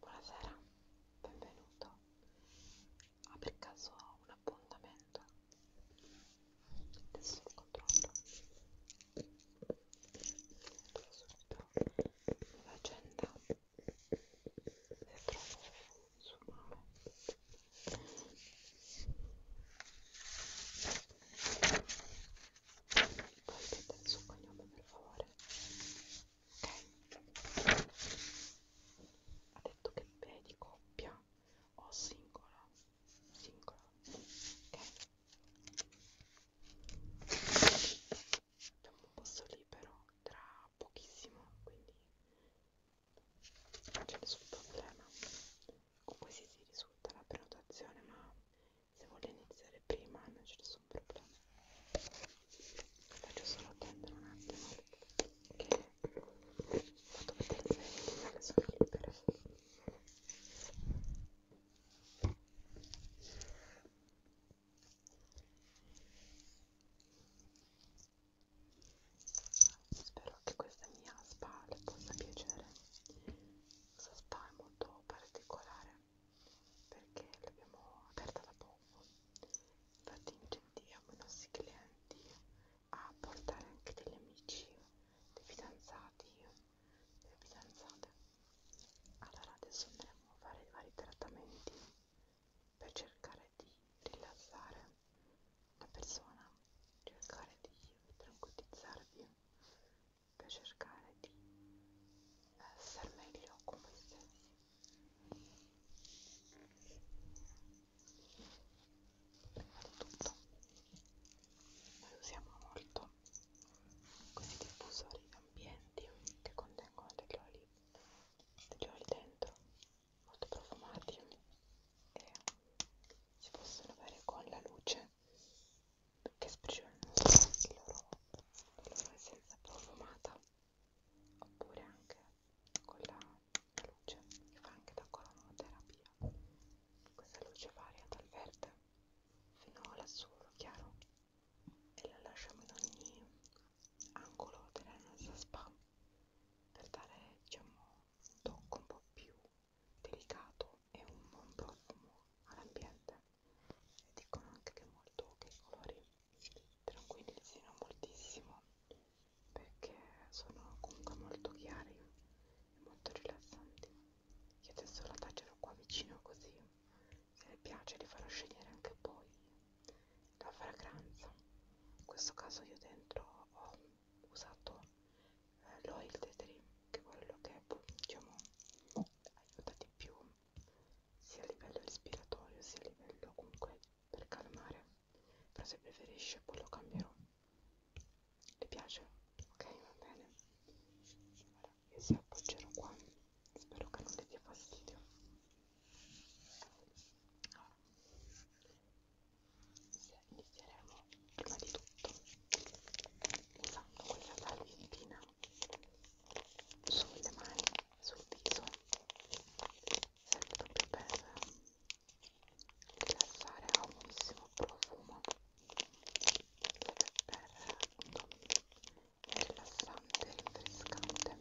Buonasera, benvenuto. Ha ah, per caso un appuntamento? Adesso lo controllo. Controllo subito l'agenda. Se trovo il suo nome. Puoi mettere il suo cognome per favore? ha detto che B di coppia o singola singola ok abbiamo un posto libero tra pochissimo quindi non c'è nessun problema comunque si, si risulta la prenotazione ma se vuole iniziare prima non c'è nessun problema faccio solo attendere un attimo che vado a mettere le figlie che sono libere Spero che questa mia spa le possa piacere. Questa spa è molto particolare perché l'abbiamo aperta da poco infatti incentiviamo i nostri clienti a portare anche degli amici dei fidanzati delle fidanzate allora adesso andremo a fare i vari trattamenti per cercare di rilassare la persona cercare di tranquillizzarvi per cercare di star meglio con voi stessi prima di tutto noi usiamo molto questi diffusori ambienti che contengono degli oli degli oli dentro molto profumati e si possono avere con la luce che esprime il loro, la loro essenza profumata oppure anche con la, la luce che fa anche da coronoterapia questa luce varia dal verde fino all'azzurro chiaro e la lasciamo in ogni angolo della nostra spa per dare diciamo un tocco un po' più delicato e un buon profumo all'ambiente e dicono anche che è molto che i colori tranquillizzino moltissimo perché sono comunque molto chiari e molto rilassanti io adesso la taglierò qua vicino così se le piace li farò scegliere anche poi la fragranza in questo caso io dentro ho usato eh, l'oil the dream che è quello che diciamo aiuta di più sia a livello respiratorio sia a livello comunque per calmare però se preferisce poi lo cambierò le piace? ok va bene allora, io si appoggerò qua spero che non le dia fastidio allora, inizieremo prima di tutto usando questa salviettina sulle mani sul viso serve proprio per rilassare ha un buonissimo profumo per è rilassante, rinfrescante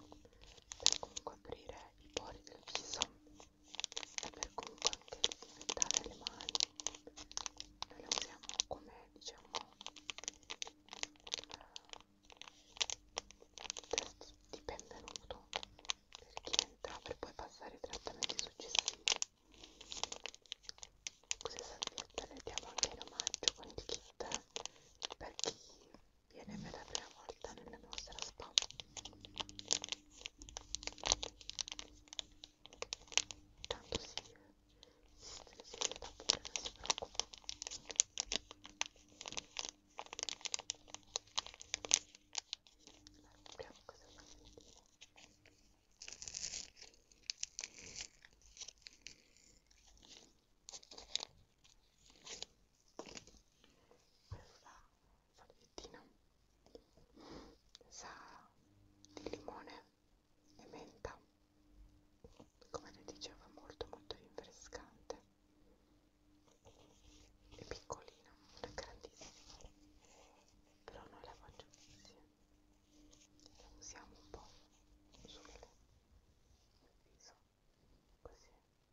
per comunque aprire i pori del viso e per comunque anche disinfettare le mani noi le usiamo come diciamo terzo di benvenuto per chi entra per poi passare ai trattamenti successivi queste salviette le diamo anche in omaggio con il kit per chi viene per la prima volta nella nostra spa tanto si si sta pure, non si preoccupa allora, vediamo cosa fa sentire questa salviettina sa di limone e menta come vi dicevo è molto molto rinfrescante è piccolina, non è grandissima però non la faccio insieme la usiamo un po' sul viso così sì.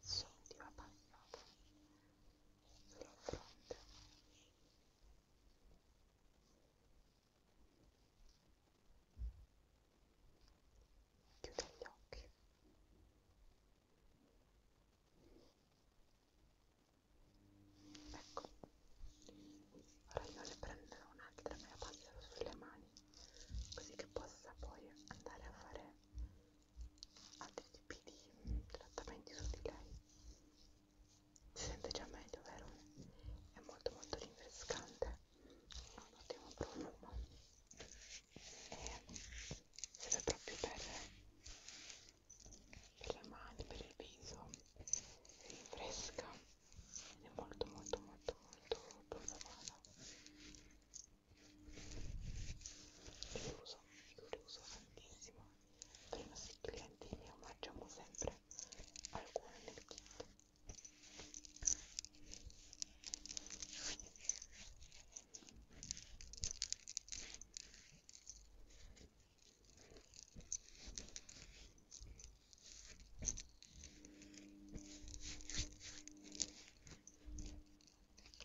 Sondiva bagnata sulla fronte. Chiude gli occhi ecco ora io le prenderò un'altra e la passerò sulle mani così che possa poi andare a fare altri tipi di trattamenti su di lei si sente già meglio vero? è molto molto rinfrescante ha un ottimo profumo serve proprio per, per le mani, per il viso, si rinfresca ed è molto molto molto molto profumato chiuso, chiuso tantissimo per i nostri clienti ne omaggiamo sempre alcune nel kit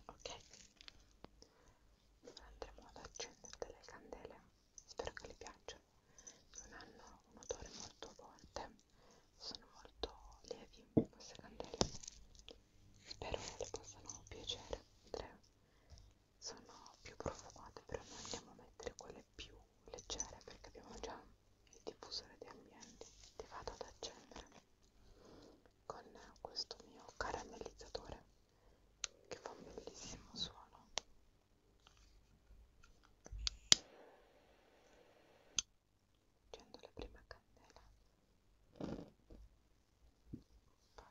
Ok, andremo ad accendere delle candele, spero che vi piacciono, non hanno un odore molto forte, sono molto lievi queste candele spero che possano piacere le sono più profumate però noi andiamo a mettere quelle più leggere perché abbiamo già il diffusore di ambienti ti vado ad accendere con questo mio caramellizzatore che fa un bellissimo suono accendo la prima candela poi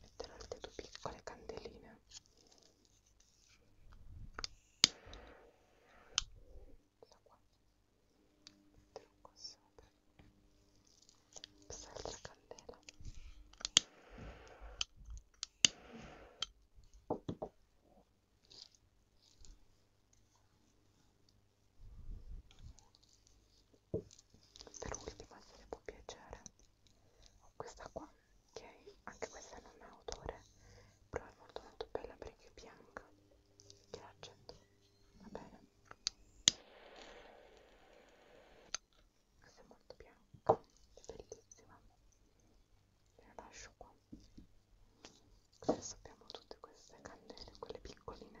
metterò anche due piccole candeline da qua metterò qua sopra quest'altra candela per ultima se vi può piacere questa qua che okay. anche questa non è autore però è molto molto bella perché è bianca che la accendo va bene questa è molto bianca è bellissima ve la lascio qua adesso abbiamo tutte queste candele quelle piccoline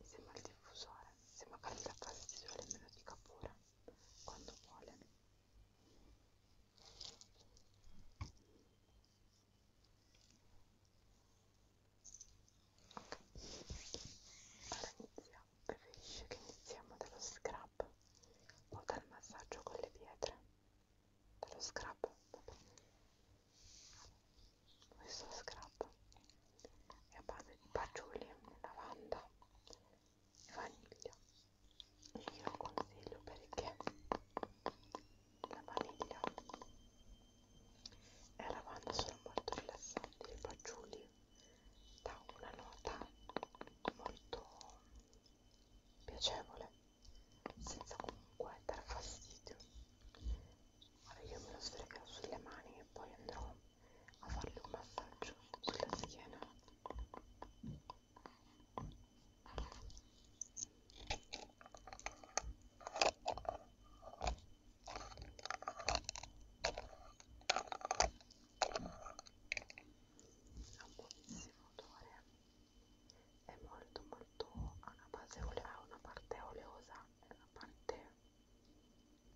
Sembra il diffusore, sembra che la casa di sole me lo dica pure quando vuole. Ok, allora iniziamo. Preferisce che iniziamo dallo scrub o dal massaggio con le pietre? Dallo scrub, va bene questo scrub è a base di fagioli, lavanda e vaniglia e io lo consiglio perché la vaniglia e la lavanda sono molto rilassanti i fagioli dà una nota molto piacevole senza comunque dar fastidio Ora io me lo sfregherò sulle mani e poi andrò a farle un massaggio sulla schiena. Ha un buonissimo odore, è molto molto, ha una base olea, ha una parte oleosa e una parte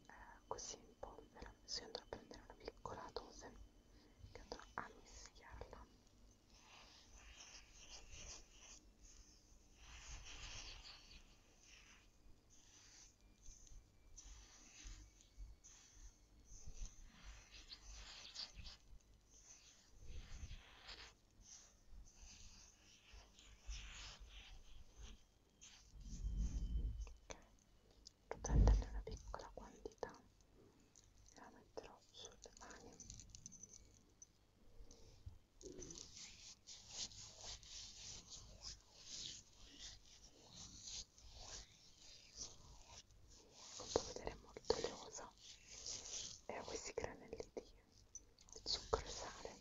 eh, così in polvere se andrò a prendere una piccola dose che andrò a mischiarla ok prenderne una piccola quantità e la metterò sulle mani come vedere è molto oleosa e ha questi granelli di zucchero e sale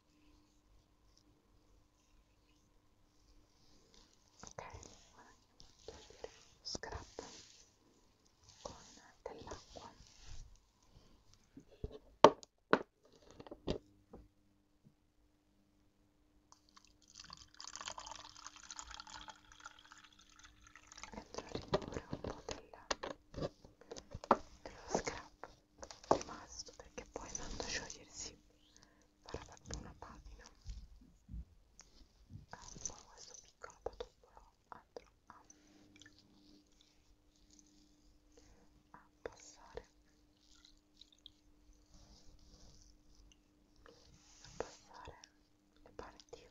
ok ora andiamo a togliere lo scrap con dell'acqua metto a rimuovere un po' del, dello scrap rimasto perché poi andando a sciogliersi farà fatto una pagina ha ah, un po' questo piccolo patopolo altro a, ah. a ah, passare a passare le parti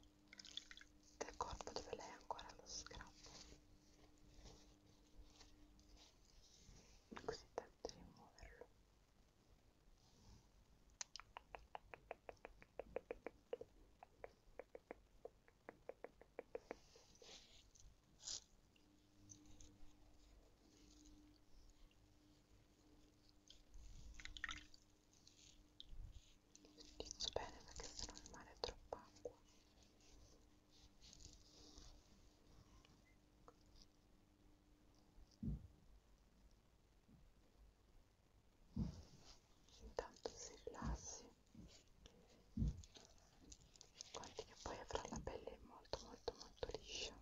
del corpo dove lei ha ancora lo scrap così da di rimuoverlo utilizzo bene perché se no rimane troppa acqua intanto si rilassi guardi che poi avrà la pelle molto molto molto liscia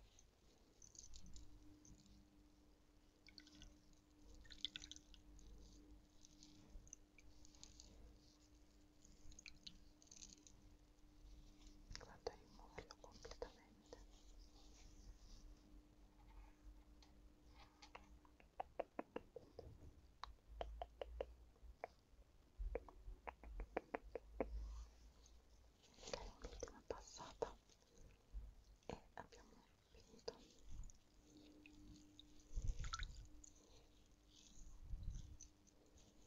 vado a rimuoverlo completamente ok un'ultima passata e abbiamo finito ok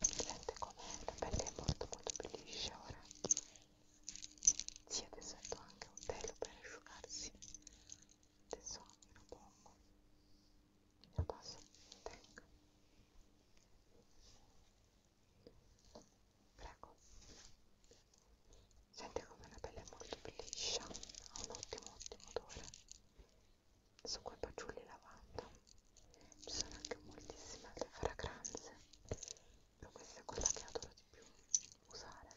vedete com'è, la pelle è molto molto più liscia ora sì adesso metto anche un telo per asciugarsi adesso me lo pongo me lo passo tengo prego sente come la pelle è molto più liscia ha un ottimo ottimo odore succo e fagioli e lavanda ci sono anche moltissime altre fragranze però questa è quella che adoro di più usare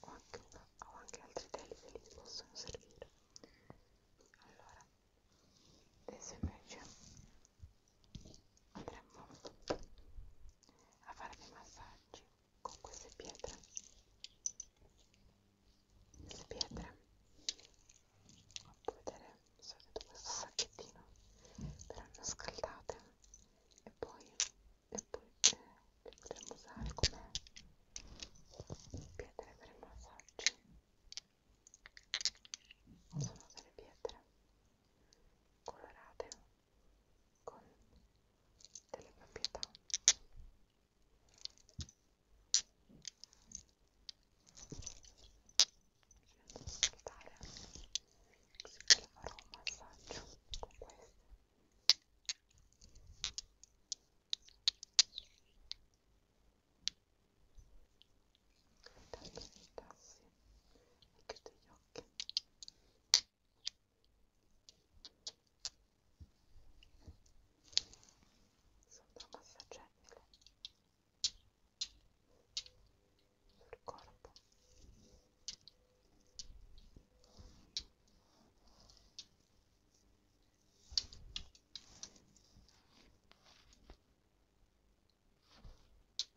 ho anche, una, ho anche altri teli che li possono servire allora ad esempio andremo a fare dei massaggi con queste pietre queste pietre puoi vedere se avete questo sacchettino verranno scaldate e poi, e poi eh, le potremo usare come pietre per i massaggi sono delle pietre colorate con delle proprietà facendo sfruttare così che le farò un massaggio con queste intanto si tassi anche degli occhi sono massaggiabile sul corpo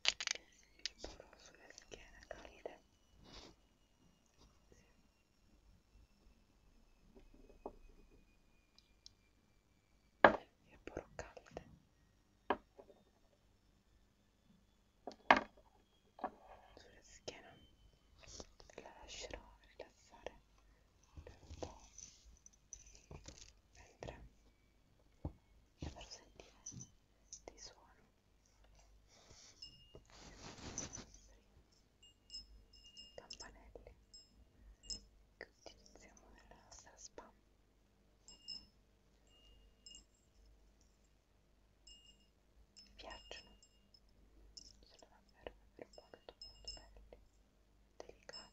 Proprio sulla schiena calide. Sì. E pure calde. Sulla schiena la lascerò rilassare per un po' mentre vi farò sentire dei suoni campanelle che utilizziamo nella nostra spa mi piacciono sono davvero davvero molto molto belli delicati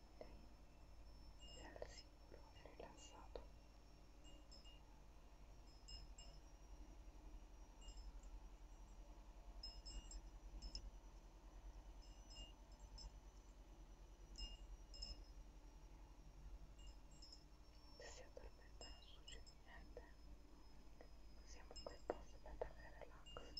sei al sicuro e rilassato se si addormenta non succede niente siamo in quel posto per dare relax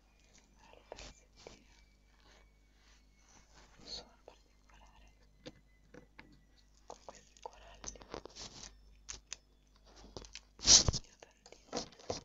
al pezzettino un suono particolare con questi coralli io tantissimo, bellissimo siamo anche quasi stati di massaggi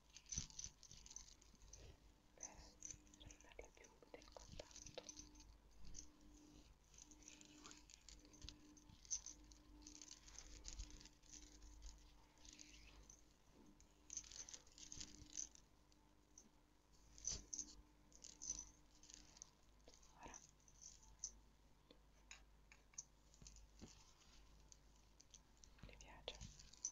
per renderle più del contatto Ora mi piace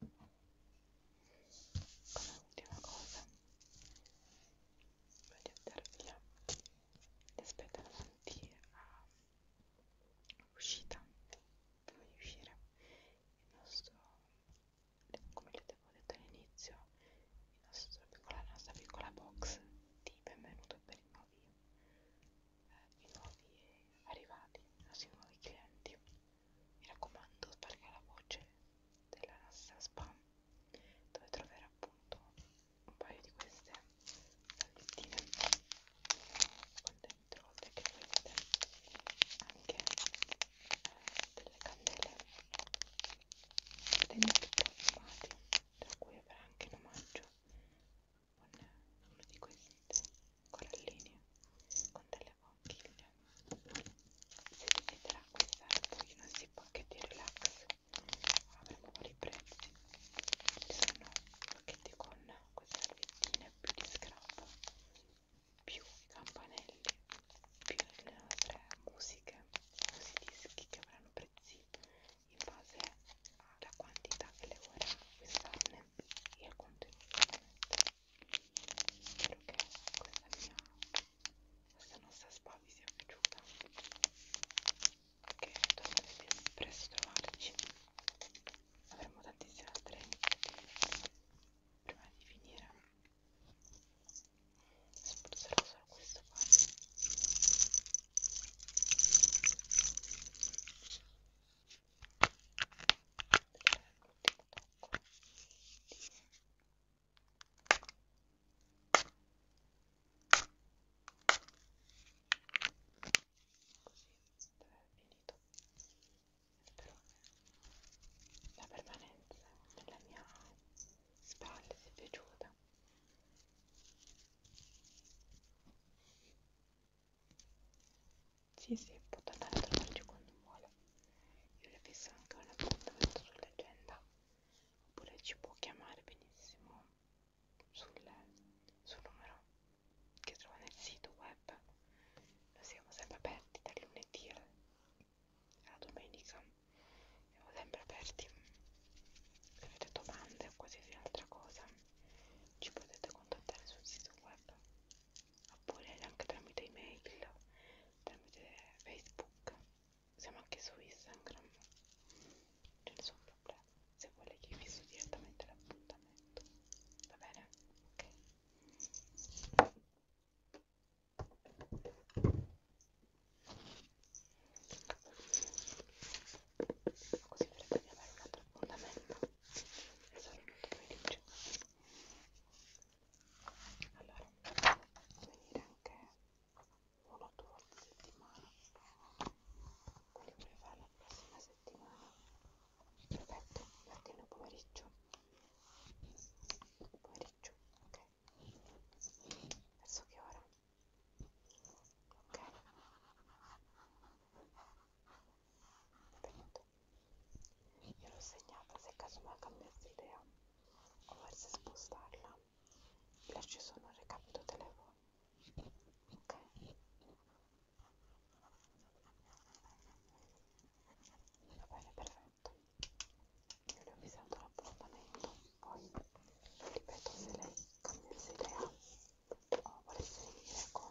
come ultima cosa voglio darvi la, aspetto davanti all'uscita prima di uscire il nostro come vi avevo detto all'inizio la nostra piccola box di benvenuto per i nuovi, eh, i nuovi arrivati, i nuovi clienti mi raccomando, sbarca la voce della Rassa Spam, dove troverà appunto un paio di queste salviettine con dentro, oltre che vedete anche eh, delle candele dentro profumati, tra cui avrà anche in omaggio un, uno di questi corallini con delle conchiglie se siete là questa poi non si può anche di relax avremo vari prezzi ci sono pacchetti con queste salvettine più di scrap più i campanelli più le nostre musiche questi dischi che avranno prezzi in base alla quantità che le vorrà acquistarne e al contenuto ovviamente spero che questa mia questa nostra spa vi sia piaciuta che tornerete presto a trovarci avremo tantissime altre iniziative prima di finire spruzzerò solo questo qua la permanenza della mia spalla si è piaciuta sì, sì, può tornare a trovarci quando vuole. Io le fisso anche un appuntamento sull'agenda. Oppure ci può chiamare benissimo sul, sul numero che trova nel sito web. Noi siamo sempre aperti dal lunedì alla domenica. Siamo sempre aperti. Se avete domande o qualsiasi altra cosa, ci potete contattare sul sito web oppure anche tramite email, tramite Facebook, siamo anche su Instagram, c'è nessun problema, se vuole che fisso direttamente l'appuntamento, va bene? Ok. Così vedete di avere un altro appuntamento e sarò molto felice allora venire anche uno o due volte a settimana quindi vorrei fare la prossima settimana perfetto mattino e pomeriggio pomeriggio ok verso che ora ok perfetto detto io l'ho segnata se casomai cambiassi idea o forse spostarla lasci solo un recapito telefono ok va bene perfetto io le ho avvisato l'appuntamento poi ripeto se lei cambiasse idea o volesse venire con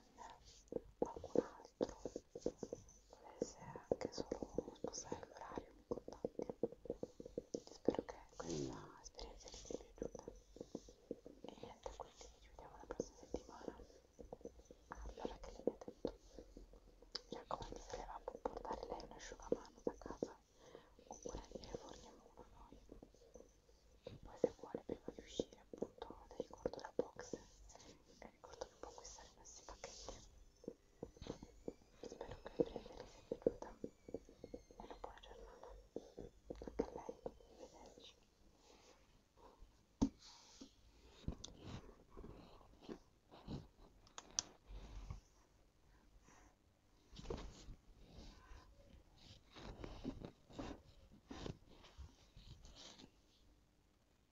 qualcun altro volesse anche solo spostare l'orario mi contatti spero che questa esperienza vi sia piaciuta e niente quindi ci vediamo la prossima settimana allora che le avete detto mi raccomando se le va a portare lei un asciugamano da casa oppure ne forniamo uno noi e poi se vuole prima di uscire appunto le ricordo la box e eh, ricordo che può acquistare questi pacchetti spero che a breve vi sia piaciuta e una buona giornata anche a lei, arrivederci